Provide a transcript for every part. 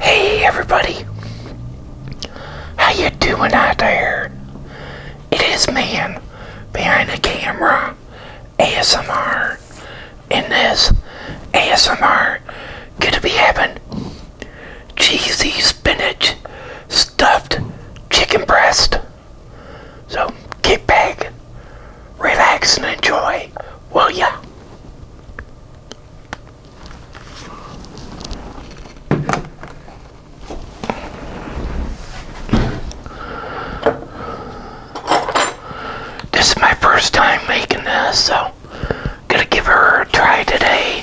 Hey everybody, how you doing out there? It is man behind the camera, ASMR. In this ASMR, gonna be having cheesy spinach stuffed chicken breast. So get back, relax, and enjoy, will ya? This is my first time making this, so gonna give her a try today.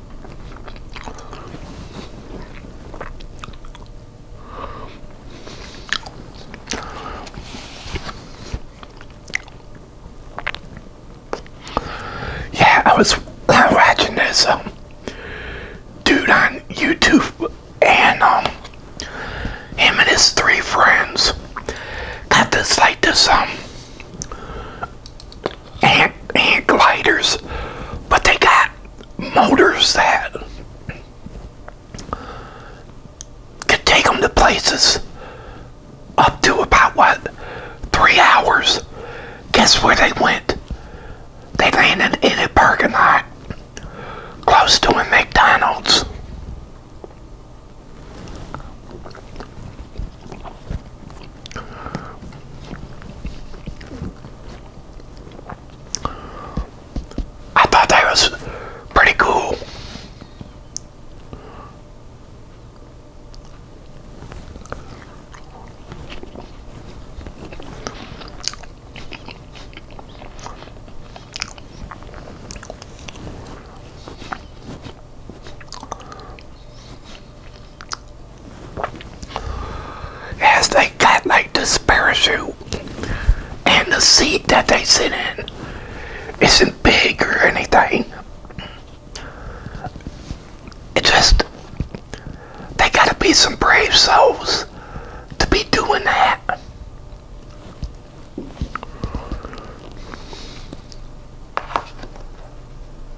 Yeah, I was watching this um, dude on YouTube, and um, him and his three friends got this like this um Ant hand gliders, but they got motors that could take them to places up to about what three hours. Guess where they went? They landed in a parking lot close to a McDonald's. I thought that was pretty cool as they got like the parachute and the seat that they sit in isn't big or anything. It just they gotta be some brave souls to be doing that.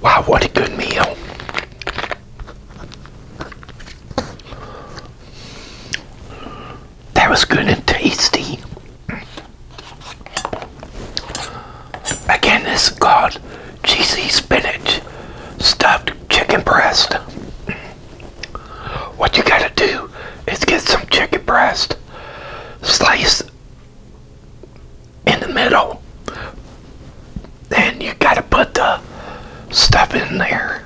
Wow, what a good meal. That was good and tasty. Again, it's got cheesy spinach stuffed chicken breast. What you gotta do is get some chicken breast, slice in the middle, and you gotta put the stuff in there.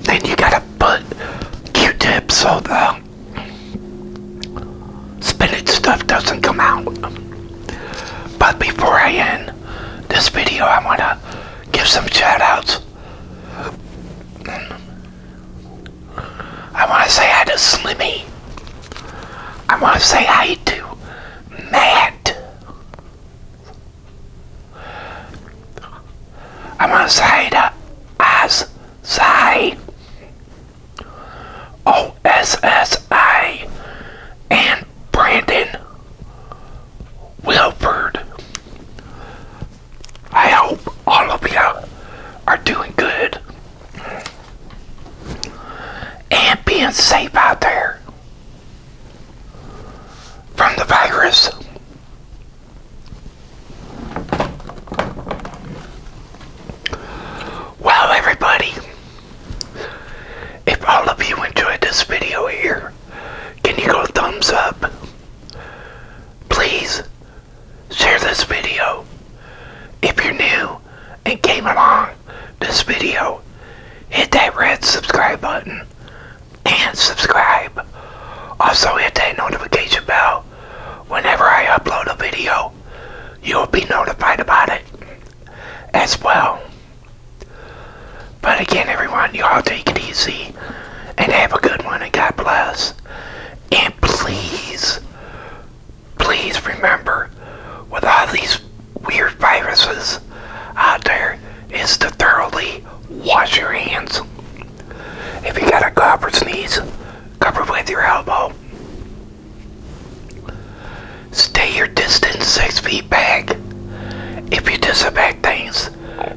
Then you gotta put Q-tips so the spinach stuff doesn't come out. But before I end this video, I want to give some shout outs. I want to say hi to Slimmy. I want to say hi to Matt. I want to say hi to Oz Sai. OSSI, and Brandon Wilford. I hope all of you are doing good and being safe out there from the virus. Well, everybody. If all of you enjoyed this video here, can you go thumbs up? Please share this video. If you're new and came along this video, hit that red subscribe button and subscribe. Also hit that notification bell whenever I upload a video you'll be notified about it as well. But again, everyone, you all take it easy and have a good one, and God bless. And please, please remember, with all these weird viruses out there, is to thoroughly wash your hands. If you got a cough or sneeze, cover with your elbow. Stay your distance six feet back. If you disinfect things,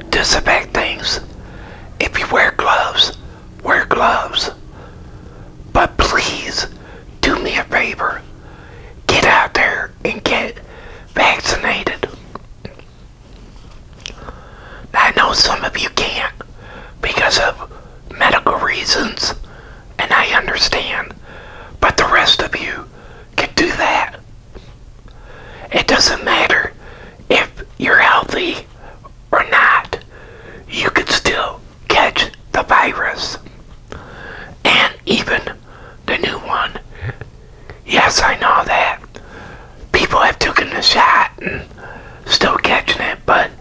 disinfect things. If you wear gloves, wear gloves. But please, do me a favor. Get out there and get vaccinated. I know some of you can't because of medical reasons, and I understand. But the rest of you can do that. It doesn't matter if you're healthy or not, you could still catch the virus. And even the new one. Yes, I know that. People have taken the shot and still catching it, but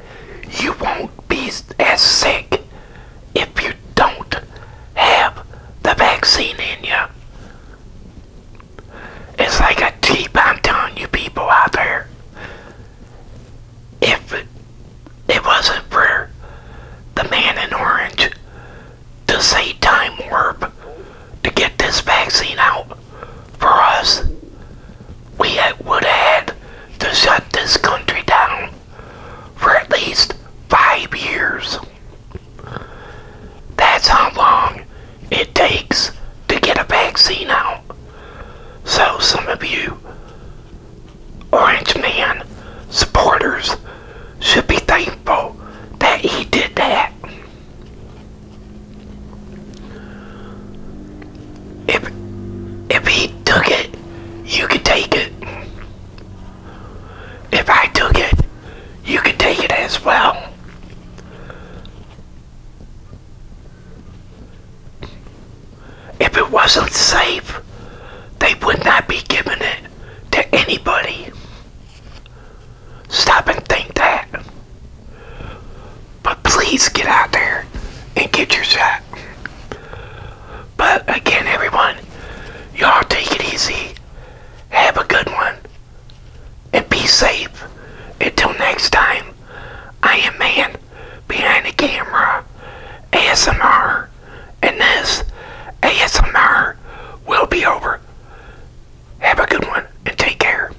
you won't do be as sick if you don't have the vaccine in you. It's like a cheap, I'm telling you people out there. If it, it wasn't for the man in orange to say time warp to get this vaccine out for us, we would have had to shut this country down for at least five years. That's how long it takes to get a vaccine out. So some of you Orange Man supporters should be thankful that he did that. If if he took it, you could take it. If I took it, you could take it as well. If it wasn't safe, they would not be giving it to anybody. Stop and think that. But please get out there and get your shot. But again, everyone, y'all take it easy. Have a good one. And be safe. Until next time, I am Man Behind the Camera ASMR. And this ASMR will be over. Have a good one and take care.